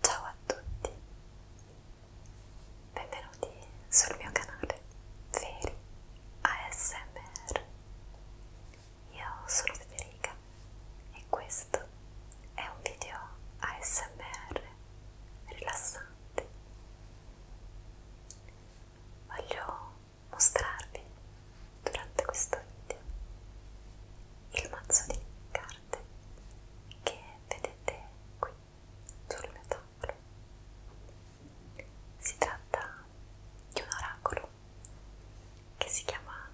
Ciao a tutti, benvenuti sul mio canale Veri ASMR. Io sono Federica e questo è un video ASMR rilassante. Voglio mostrarvi durante questo video il mazzo di carte che vedete qui sul mio tavolo. Si tratta di un oracolo che si chiama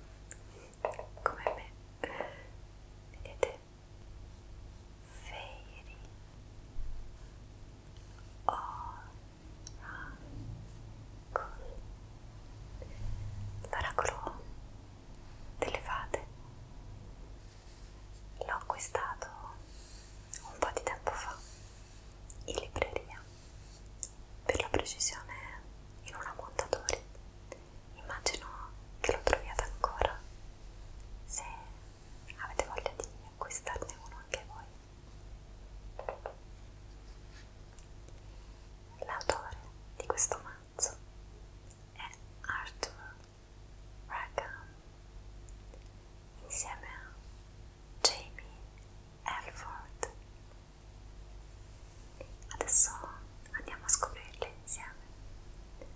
come me, vedete? Fairy Oracolo. L'oracolo delle fate. L'ho acquistato un po' di tempo fa in libreria, per la precisione in una montatori. Immagino che lo troviate ancora. Se avete voglia di acquistarne uno anche voi, L'autore di questo mazzo è Arthur Rackham insieme a Jamie Elford. Adesso andiamo a scoprirli insieme.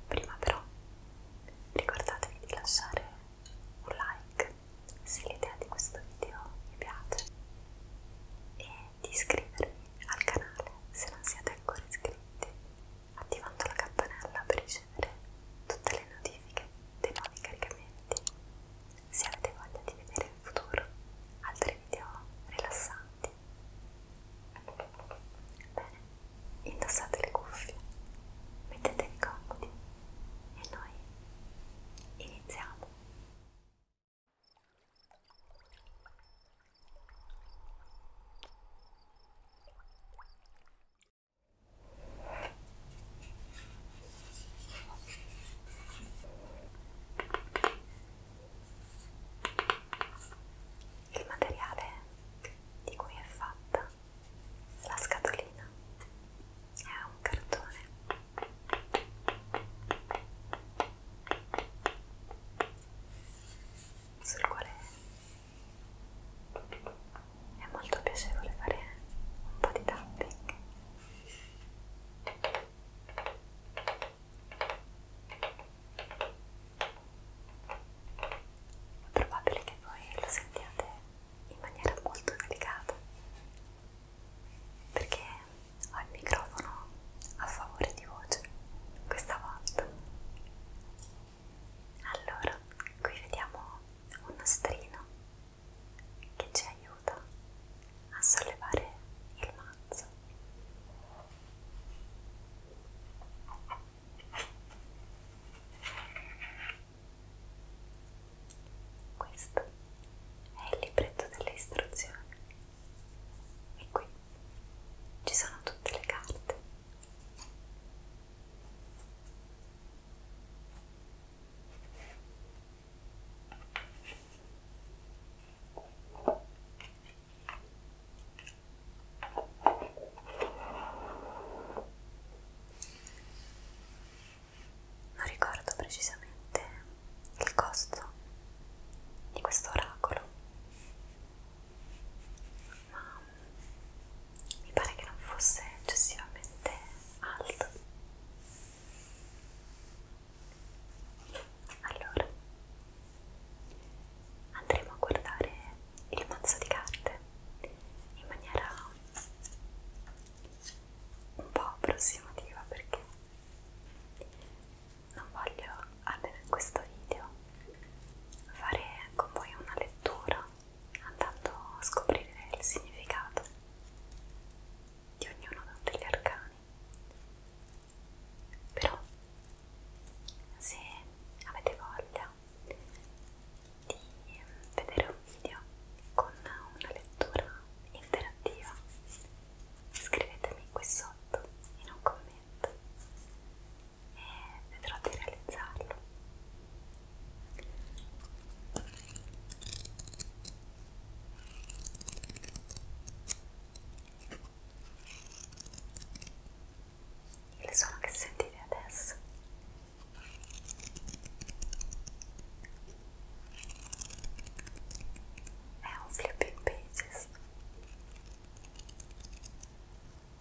Prima però ricordatevi di lasciare un like se l'idea di questo video vi piace e di iscrivervi al canale se non siete ancora iscritti attivando la campanella per ricevere tutte le notifiche dei nuovi caricamenti se avete voglia di vedere in futuro altri video rilassanti bene indossate le cuffie mettetevi comodi e noi iniziamo. Il materiale di cui è fatta la scatolina carina è un cartone sul quale è molto piacevole fare un po' di tapping è probabile che voi lo sentiate in maniera molto delicata perché ho il microfono a favore di voce questa volta. Allora, qui vediamo un nastrino che ci aiuta a sollevare il mazzo. Questo è il libretto delle istruzioni e qui ci sono tutte le carte non ricordo precisamente il costo di questo oracolo, ma mi pare che non fosse eccessivamente alto. Allora, andremo a guardare il mazzo di carte in maniera un po' approssimativa perché non voglio, almeno in questo video, fare con voi una lettura andando a scoprire il significato di ognuno degli arcani. Però, se avete voglia di vedere un video con una lettura interattiva scrivetemi qui sotto in un commento e vedrò di realizzarlo il suono che sentite adesso è un flipping pages.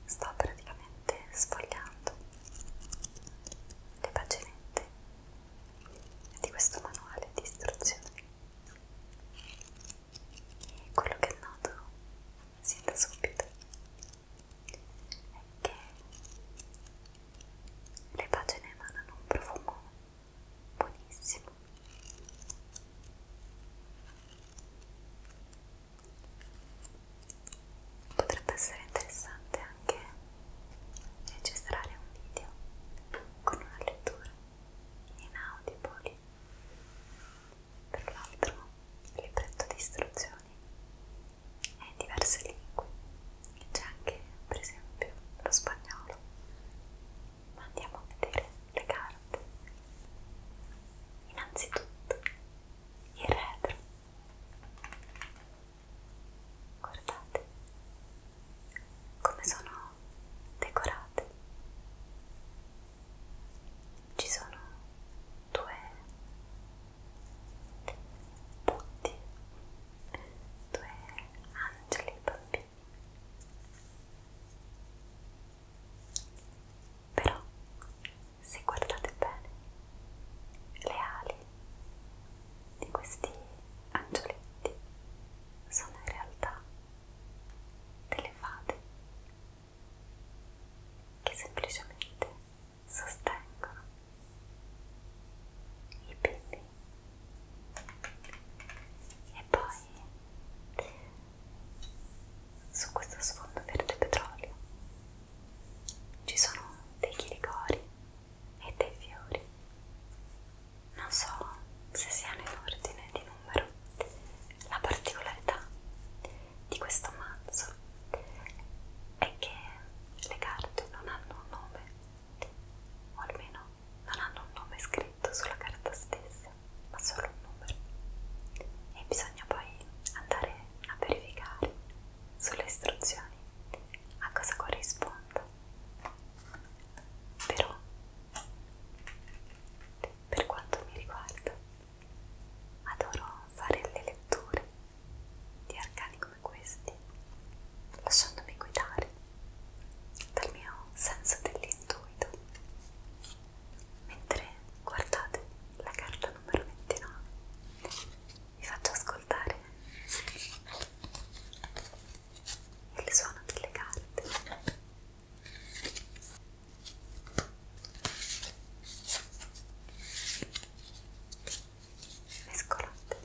Sto praticamente sfogliando le paginette di questo manuale di istruzioni. E quello che noto sin da subito è che le pagine emanano un profumo buonissimo potrebbe essere interessante anche registrare un video con una lettura in audible tra l'altro il libretto di istruzioni è in diverse lingue c'è anche per esempio lo spagnolo ma andiamo a vedere le carte innanzitutto il retro guardate come sono decorate ci sono due punti due angeli bambini. Però, se guardate bene, le ali di questi angioletti sono in realtà delle fate che semplicemente sostengono i peli e poi su questo sfondo verde petrolio ci sono dei chiricori e dei fiori non so se siano in ordine di numero la particolarità di questo mazzo è che le carte non hanno un nome o almeno non hanno un nome scritto sulla carta stessa, ma solo un numero. E bisogna poi andare a verificare sulle istruzioni a cosa corrisponda. Però, per quanto mi riguarda, adoro fare le letture di Arcani come questi, lasciandomi guidare dal mio senso dell'intuito. Mentre guardate la carta numero 29, vi faccio ascoltare il suono delle carte mescolate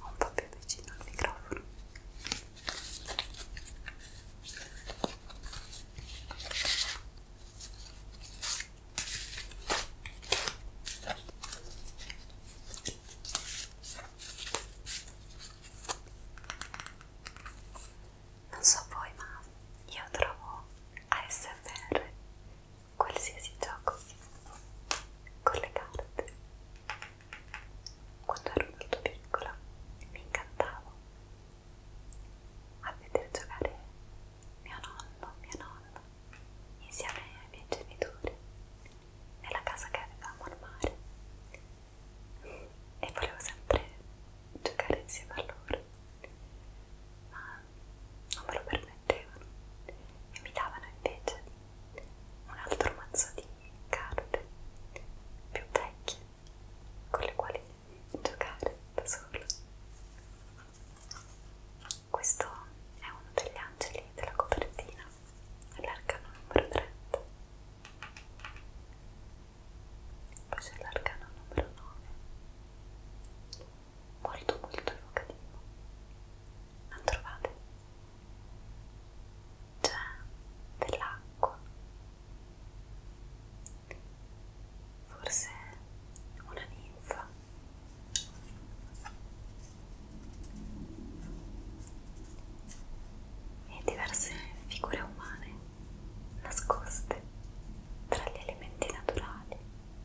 un po' più vicino al microfono non so voi ma io trovo ASMR qualsiasi gioco con le carte quando ero molto piccola mi incantavo a vedere giocare mio nonno, mia nonna insieme ai miei genitori nella casa che avevamo al mare e volevo sempre giocare insieme a loro ma non me lo permettevano e mi davano invece un altro mazzo di carte più vecchie con le quali giocare da solo. Questo è uno degli angeli della copertina, l'arcano numero 30 poi c'è l'arcano numero 9 molto molto evocativo non trovate? c'è dell'acqua forse una ninfa e diverse figure umane nascoste tra gli elementi naturali.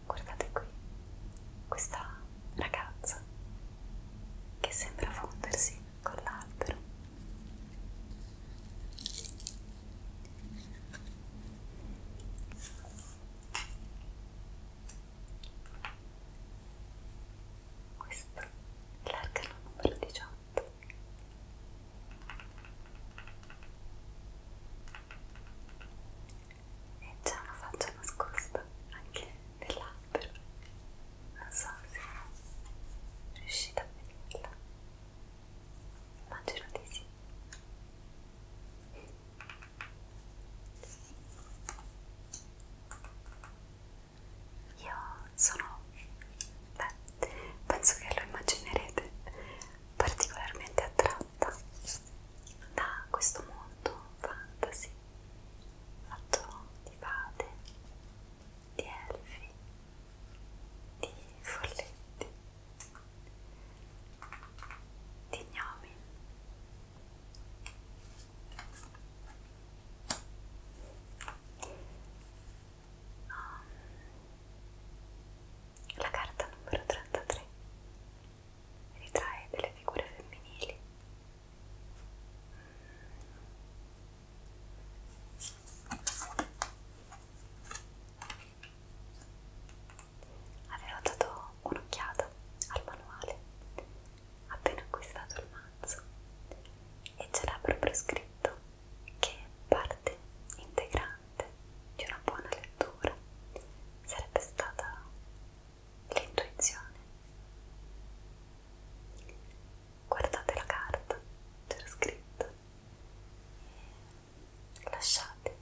Guardate qui questa ragazza che sembra fondersi con l'albero. Questo è l'arcano numero 18 e c'è una faccia nascosta anche nell'albero non so se riuscite a vederla immagino di sì io sono beh, penso che lo immaginerete particolarmente attratta da questo mondo fantasy fatto di fate, di elfi, di folletti, di gnomi. La carta numero 33 ritrae delle figure femminili. Avevo dato un'occhiata al manuale appena acquistato il mazzo e ce l'ha proprio scritto che è parte integrante di una buona lettura sarebbe stata l'intuizione. Guardate la carta, c'era scritto, lasciate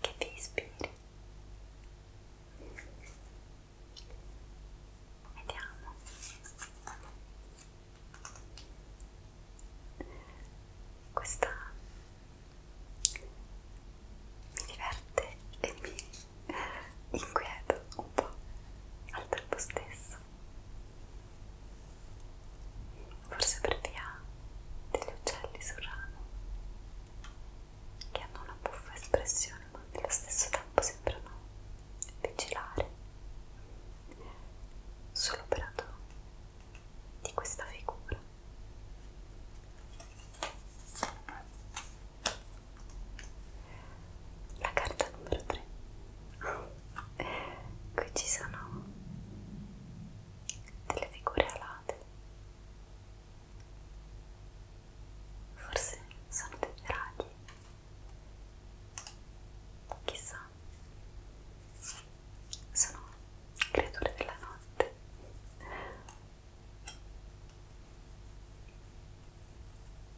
che vi ispiri. Vediamo. Questa mi diverte e mi inquieta un po' al tempo stesso, forse per via degli uccelli sul ramo che hanno una buffa espressione ma nello stesso tempo sembrano vigilare sull'operatore di questa figura la carta numero 3 qui ci sono delle figure alate forse sono dei draghi chissà sono creature della notte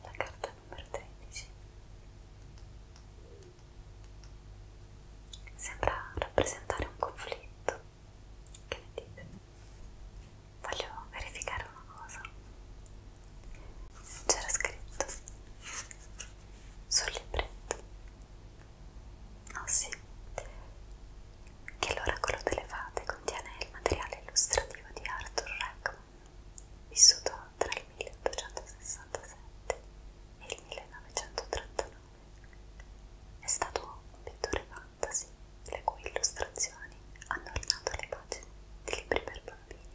la carta numero 13 sembra rappresentare un conflitto che ne dite? voglio verificare una cosa c'era scritto sul libretto Oh sì, che l'oracolo delle fate contiene il materiale illustrativo di Arthur Rackman, vissuto tra il 1867 e il 1939. È stato un pittore fantasy, le cui illustrazioni hanno ornato le pagine di libri per bambini.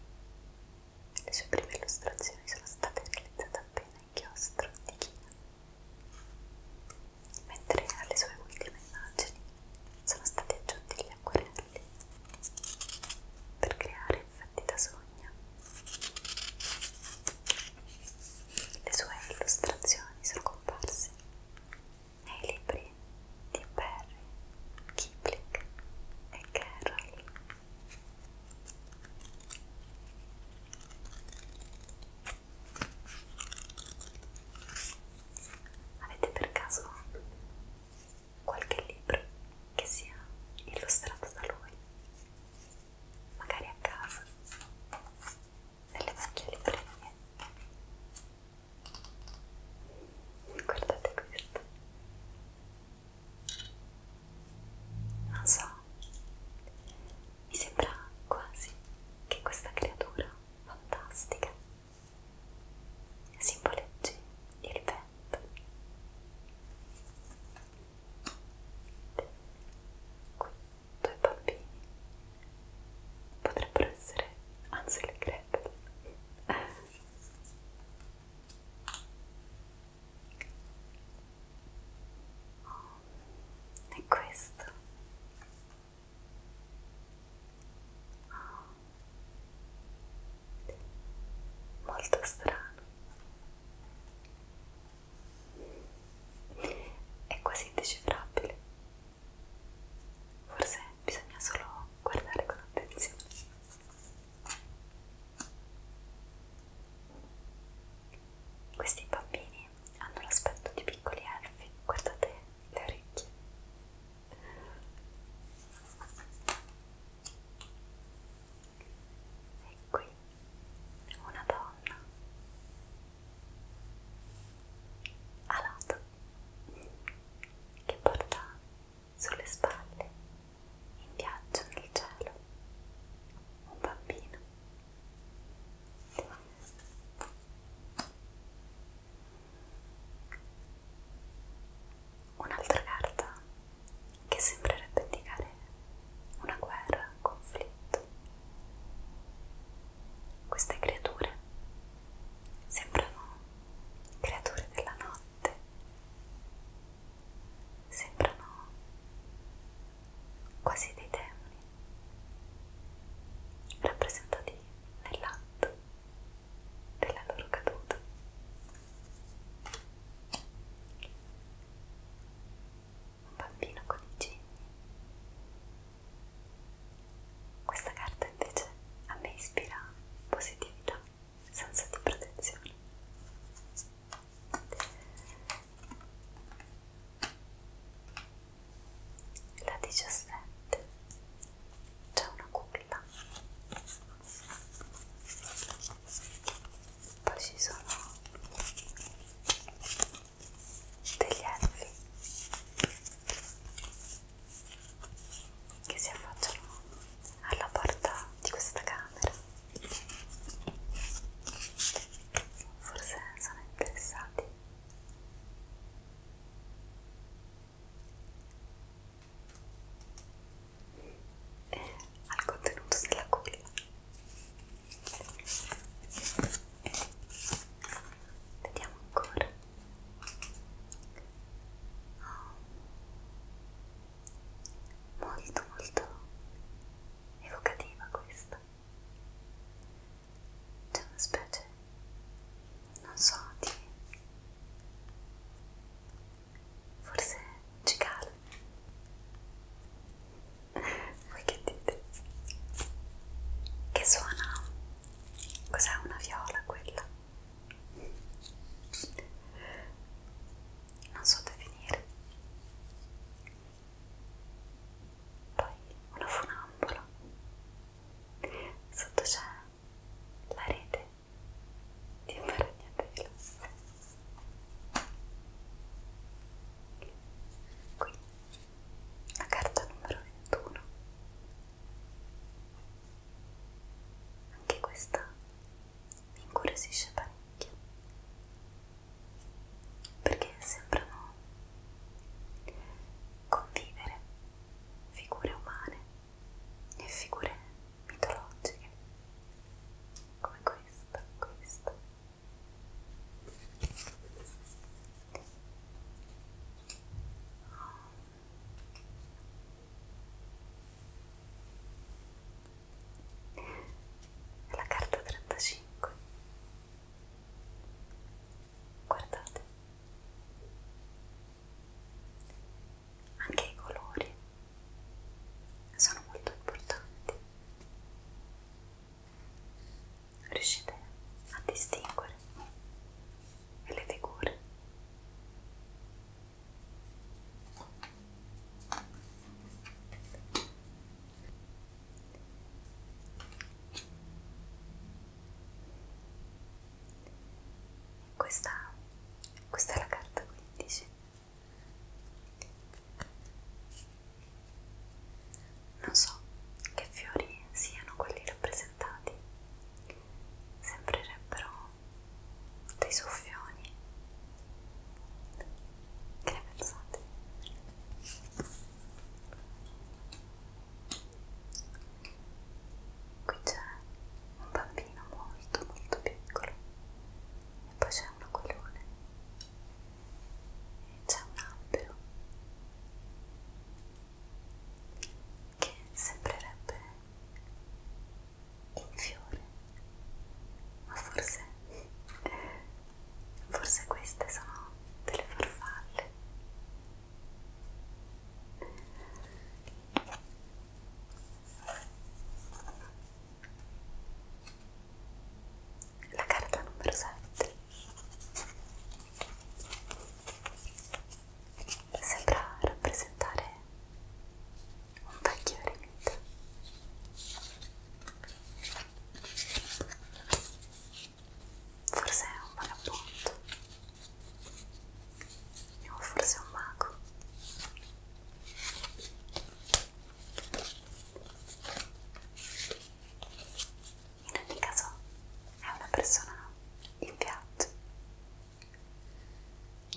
Le sue prime illustrazioni sono state realizzate appena inchiostro di china. Mentre alle sue ultime immagini sono stati aggiunti gli acquerelli per creare effetti da sogno. Le sue illustrazioni sono comparse nei libri di Perry, Kipling e Carroll. Avete per caso qualche libro che sia illustrato da lui? Magari a casa, nelle vecchie librerie. Guardate questo non so, mi sembra quasi che questa creatura fantastica simboleggi il vento. Qui due bambini potrebbero essere Ansel e Gretel. Oh, è questo. Oh, molto strano. È quasi indecifrabile. Forse bisogna solo guardare con attenzione. Questi bambini hanno l'aspetto di piccoli elfi, guardate le orecchie. E qui una donna alata che porta sulle spalle in viaggio nel cielo un bambino Un'altra carta che sembrerebbe indicare una guerra, un conflitto. Queste creature sembrano creature della notte sembrano quasi dei demoni rappresentati nell'atto della loro caduta. Un bambino con i geni. Questa carta invece a me ispira positività, senso di protezione. La diciassette c'è una culla. Poi ci sono degli elfi che si affacciano alla porta di questa camera forse sono interessati. E eh, al contenuto della culla. Vediamo ancora. Oh. Molto molto evocativa questa. C'è una specie, non so, di... forse cicale. Voi che dite? Che suona? Cos'è una viola quella? Non so definire poi una funambola sotto c'è la rete di un ragnatelo qui la carta numero 21 anche questa mi incuriosisce parecchio perché sembrano convivere figure umane e figure mitologiche come questa, questa la carta 35 guardate anche i colori sono molto importanti riuscite a distinguere le figure questa, questa è la carta 15. Non so che fiori siano quelli rappresentati, sembrerebbero dei soffioni che ne pensate? Qui c'è un bambino molto molto piccolo e poi c'è un aquilone e c'è un albero che sembrerebbe in fiore ma forse Forse queste sono delle farfalle. La carta numero 7 sembra rappresentare un vecchio eremita Forse è un vagabondo o forse è un mago. In ogni caso è una persona in viaggio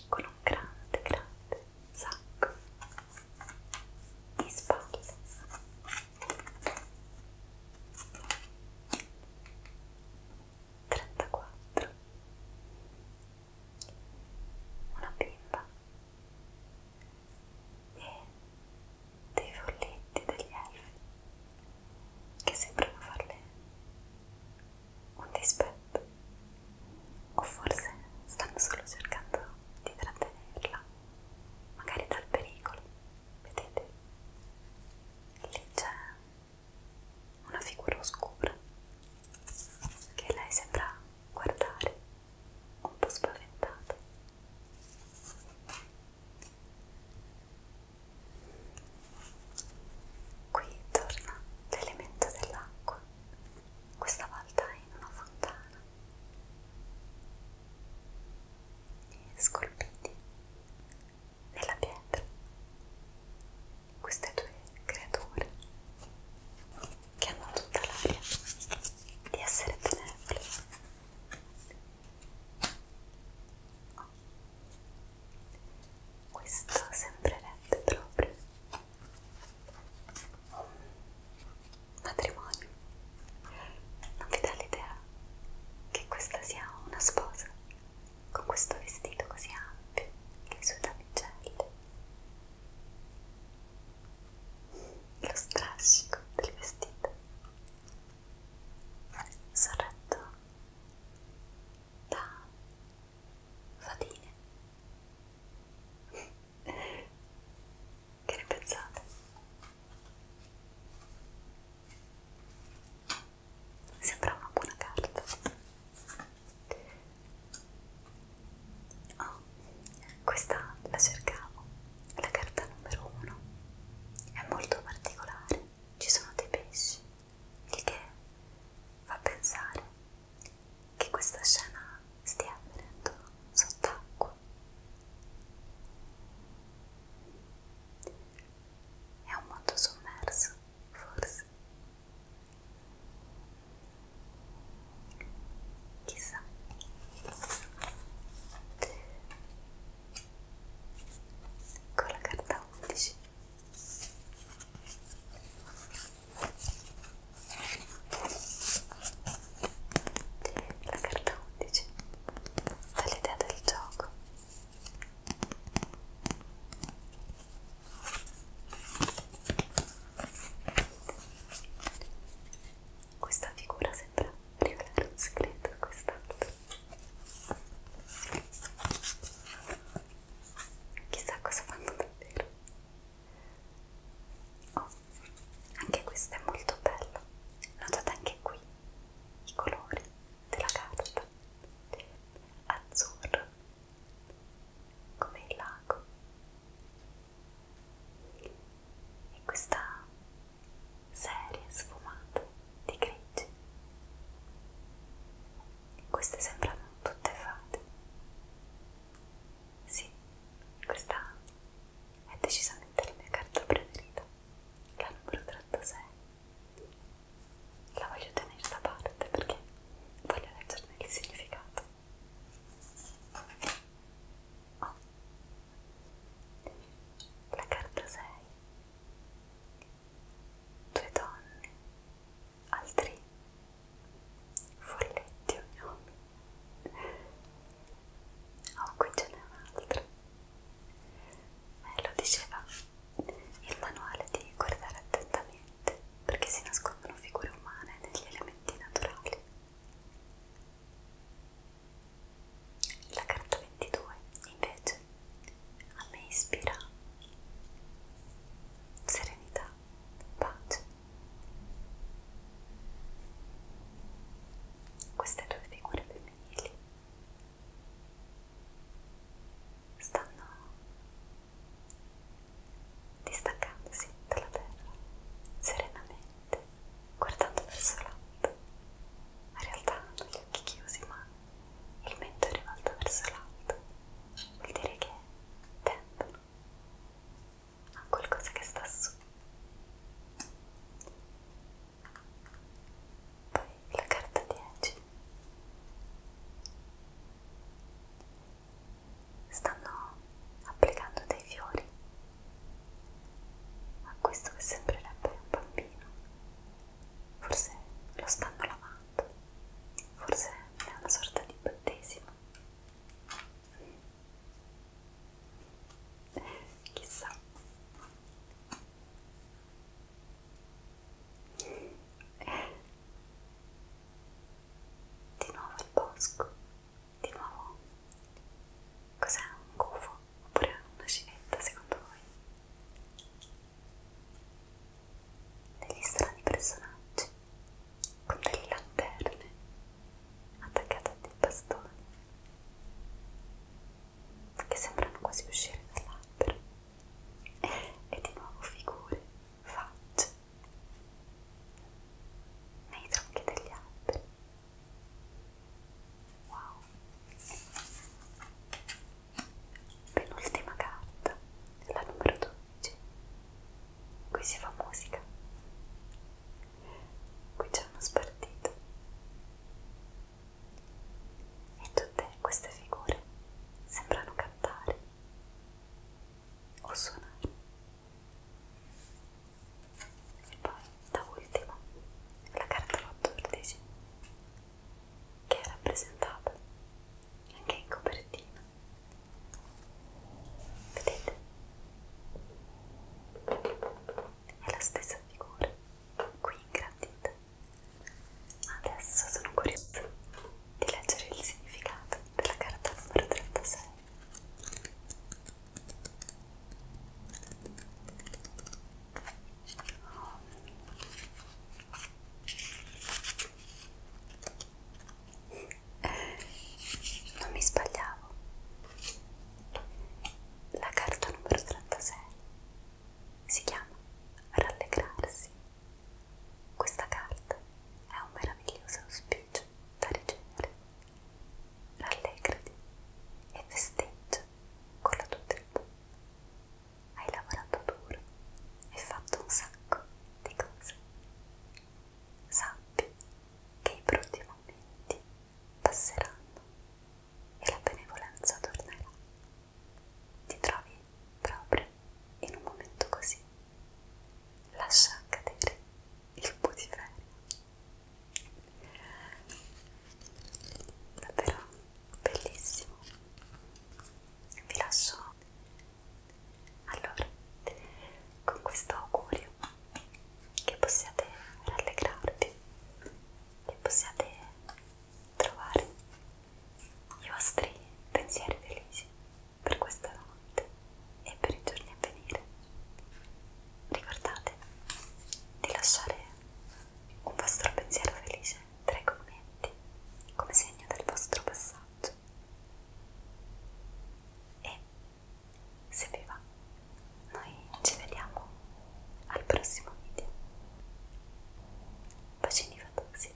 con un grande grande sacco di spalle 34 una bimba e dei folletti degli elfi che sembrano farle un dispetto o forse stanno solo cercando di trattenerla magari dal pericolo, vedete? Lì c'è una figura oscura che lei sembra guardare un po' spaventata. Qui torna l'elemento dell'acqua, questa volta in una fontana scolpiti nella pietra queste due creature che hanno tutta l'aria di essere benevole questo sembrerebbe proprio matrimonio. Non vi dà l'idea che questa sia una sposa con questo vestito così ampio, le sue damigelle, lo strascico del vestito, sorretto da fatine che ne pensate? Sembra una buona carta. Oh, questa la cercavo, la carta numero uno. È molto particolare, ci sono dei pesci, il che fa pensare che questa scena stia venendo sott'acqua. È un mondo sommerso, forse. Chissà. Con la carta 11. La carta 11 dà l'idea del gioco. Questa figura sembra rivelare un segreto a quest'altro. Chissà cosa fanno davvero. Oh, anche questo è molto bello notate anche qui i colori della carta azzurro come il lago e questa serie sfumata di grigi queste sembrano tutte fate sì, questa è decisamente la mia carta preferita, la numero 36. La voglio tenere da parte perché voglio leggerne il significato. Oh. La carta 6. Due donne, altri folletti ognomi. Oh, qui ce n'è un'altra. Eh, lo diceva il manuale di guardare attentamente perché si nascondono figure umane negli elementi naturali. La carta 22, invece, a me ispira serenità, pace queste due figure femminili stanno distaccandosi dalla terra serenamente guardando verso l'alto ma in realtà hanno gli occhi chiusi ma il mento è rivolto verso l'alto vuol dire che tendono a qualcosa che sta su. Poi la carta 10. Stanno applicando dei fiori a questo che sembrerebbe un bambino. Forse lo stanno lavando, forse è una sorta di battesimo chissà di nuovo il bosco di nuovo cos'è un gufo oppure una civetta secondo voi degli strani personaggi con delle lanterne attaccata a dei bastoni che sembrano quasi uscire dall'albero e di nuovo figure, facce nei tronchi degli alberi wow penultima carta la numero 12 qui si fa musica qui c'è uno spartito e tutte queste figure sembrano cantare o suonare e poi da ultimo la carta 14 che è rappresentata anche in copertina vedete è la stessa figura qui ingrandita. Adesso sono curiosa di leggere il significato della carta numero 36. Non mi sbagliavo, la carta numero 36 si chiama Rallegrarsi. Questa carta è un meraviglioso auspicio da ricevere. Rallegrati e festeggia con la tua tribù. Hai lavorato duro e fatto un sacco di cose. Sappi che i brutti momenti passeranno e la benevolenza tornerà. Ti trovi proprio in un momento così. Lascia cadere il putiferio. Davvero bellissimo. Vi lascio allora con questo augurio che possiate rallegrarvi, che possiate trovare i vostri pensieri felici per questa notte e per i giorni a venire. Ricordate di lasciare un vostro pensiero felice tra i commenti come segno del vostro passaggio e se vi va noi ci vediamo al prossimo video bacini fatosi